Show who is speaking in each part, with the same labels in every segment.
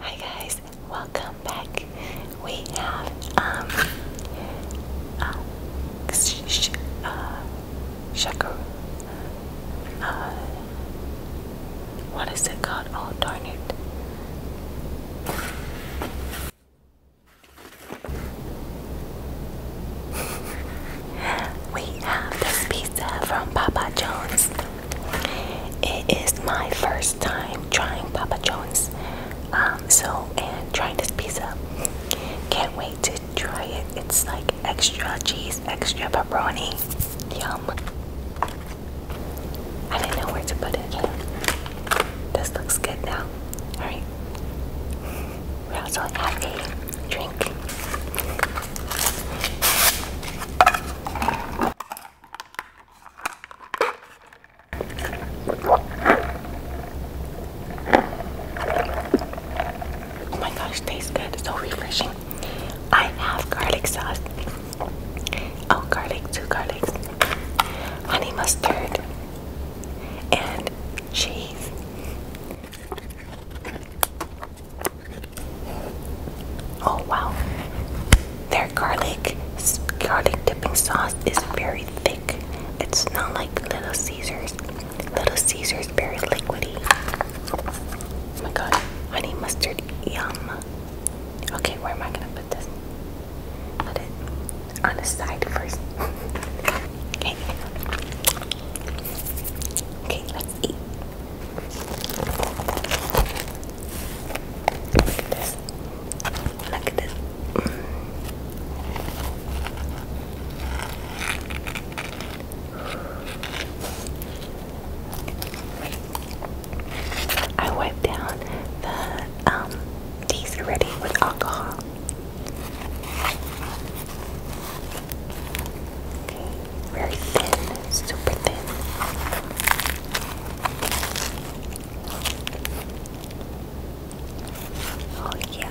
Speaker 1: Hi guys, welcome back. We have um uh, uh, shakur. Uh, what is it called? Oh darn it. We have this pizza from Papa John's. It is my first time trying Papa John's. Um, so, and trying this pizza. Can't wait to try it. It's like extra cheese, extra pepperoni. Yum. I didn't know where to put it. This looks good now. Alright. We also have a drink. Oh my gosh, tastes good, so refreshing. I have garlic sauce. Oh, garlic, two garlics, honey mustard, and cheese. Oh wow. Their garlic garlic dipping sauce is very thick. It's not like Little Caesars. Little Caesars very liquidy. Oh my god. Honey mustard yum. Okay, where am I gonna put this? Put it on the side first. okay. Okay, let's eat. Look at this. Look at this. I wiped down the um these already with alcohol. Okay, very thin, super thin. Oh yeah.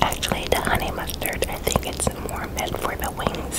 Speaker 1: Actually, the honey mustard, I think it's more meant for the wings.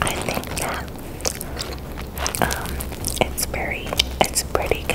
Speaker 1: I think that um, it's very, it's pretty good.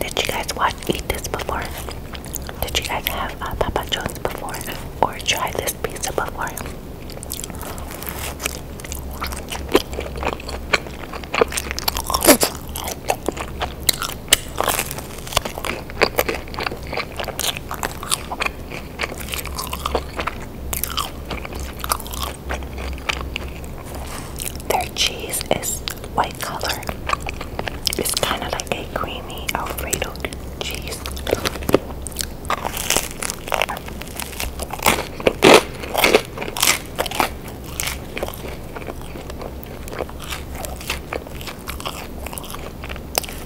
Speaker 1: Did you guys watch eat this before? Did you guys have uh, Papa John's before or try this pizza before? Their cheese is white color. It's kind of like a creamy Alfredo cheese.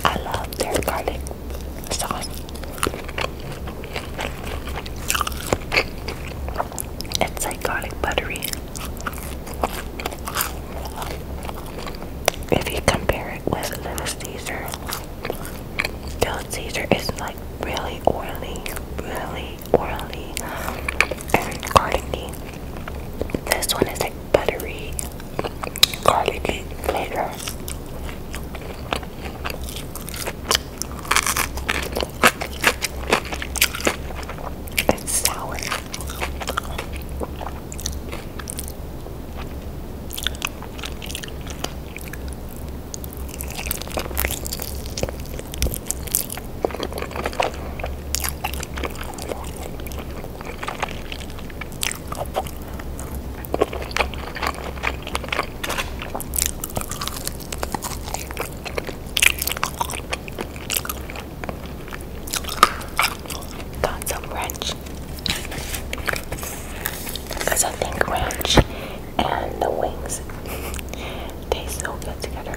Speaker 1: I love their garlic sauce. It's like garlic buttery. If you compare it with Little Caesar, Little Caesar is like really oily, really oily and garlicky. This one is like buttery garlicky flavor. It's sour. Thoughts of ranch, because I think ranch and the wings taste so good together.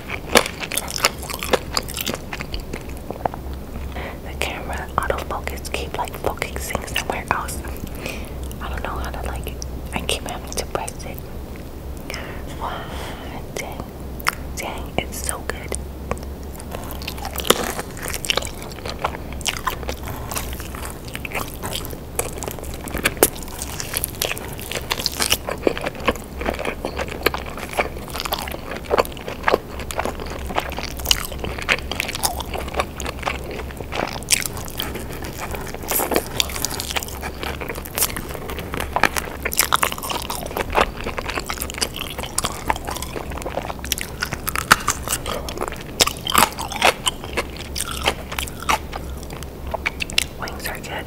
Speaker 1: The camera autofocus keep like focusing somewhere else. I don't know how to like it. I keep having to press it. dang, dang, it's so good. Wings are good.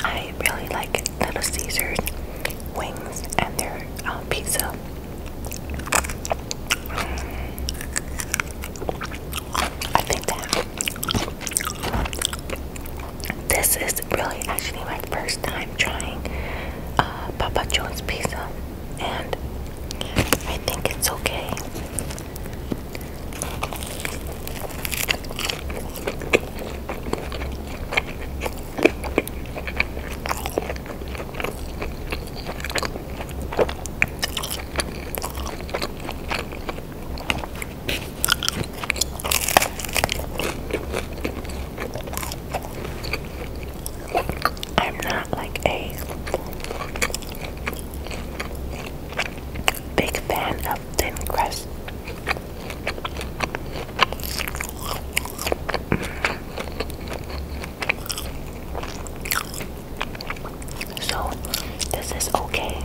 Speaker 1: I really like Little Caesars wings and their um, pizza. I think that this is really actually my first time trying uh, Papa John's pizza, and I think it's okay. I'm not like a big fan of thin crust. So, this is okay.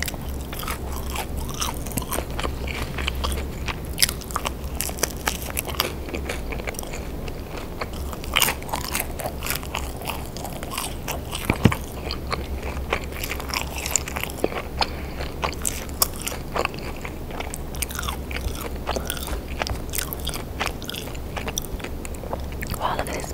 Speaker 1: Wow, look at this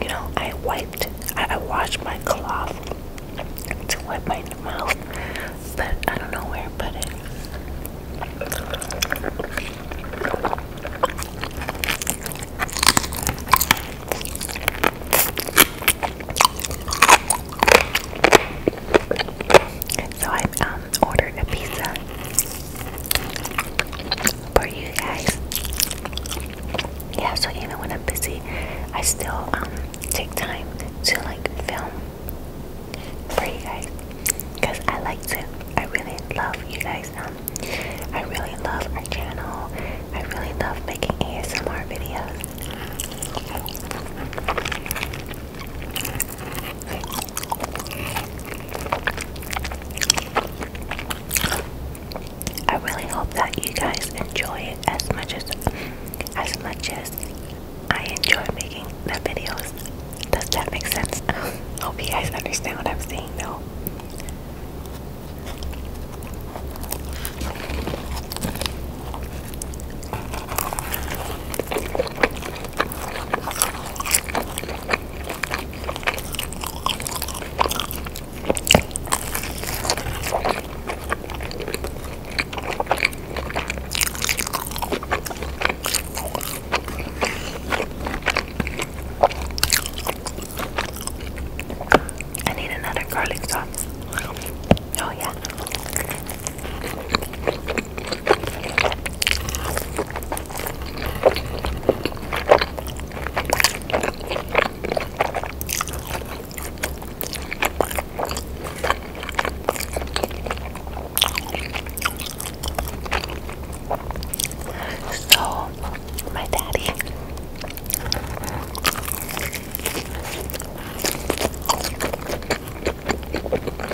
Speaker 1: You know, I wiped, I, washed my cloth to wipe my mouth, but I don't know where I put it. So I um, ordered a pizza for you guys. Yeah, so even when I'm busy, I still um, take time to like film for you guys because I like to. I really love you guys. Um, I really love our channel. I really love making ASMR videos. I really hope that you guys enjoy it as much as as much as I enjoy making the videos. Does that make sense? hope you guys understand what I'm saying though. I need another garlic sauce. Oh, yeah. So, my daddy.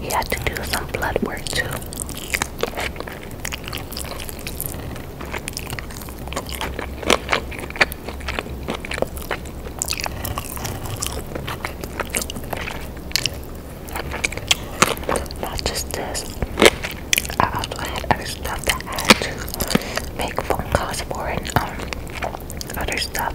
Speaker 1: He had to do some blood work too. Not just this. I also had other stuff that I to make phone calls for and um other stuff.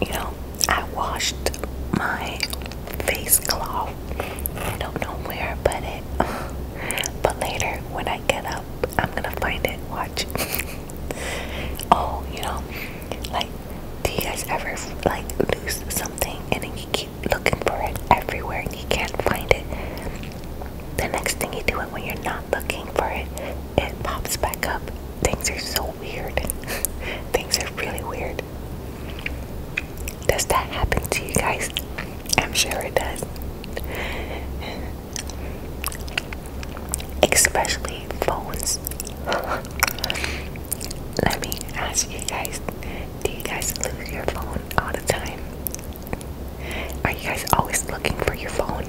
Speaker 1: You know, I washed my face cloth. I don't know where I it. but later, when I get up, I'm gonna find it. Watch. oh, you know, like, do you guys ever like lose something and then you keep looking for it everywhere and you can't find it? The next thing you do it when you're not looking for it, it pops back up. Things are so weird. Things are really weird. Does that happen to you guys? I'm sure it does. Especially phones. Let me ask you guys do you guys lose your phone all the time? Are you guys always looking for your phone?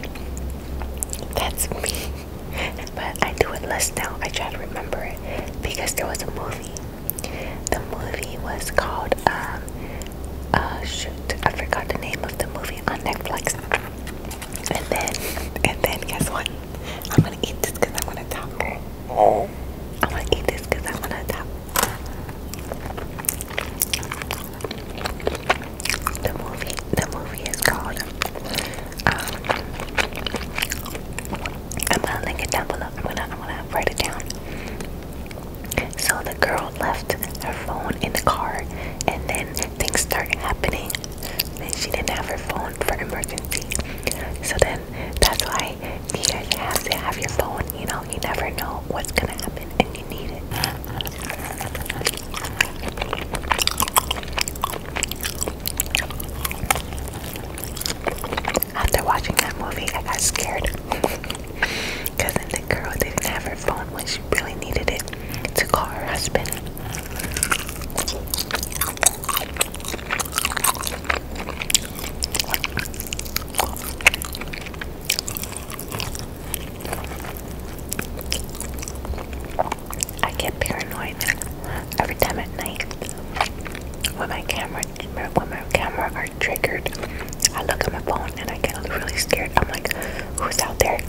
Speaker 1: That's me. But I do it less now. I try to remember it because there was a movie the movie was called, um, uh, shoot, I forgot the name of the movie on Netflix. And then, and then, guess what? I'm gonna eat this because I am going to talk. I'm gonna eat this because I am going to talk. The movie, the movie is called, um, I'm gonna link it down below. I'm gonna I'm gonna write it down. So the girl left her phone in the car and then things started happening. and she didn't have her phone for emergency. So then that's why you guys have to have your phone, you know, you never know what's gonna happen and you need it. After watching that movie, I got scared because then the girl didn't have her phone when she really needed it to call her husband. I get paranoid every time at night with my camera when my camera are triggered, I look at my phone and I get really scared. I'm like, who's out there?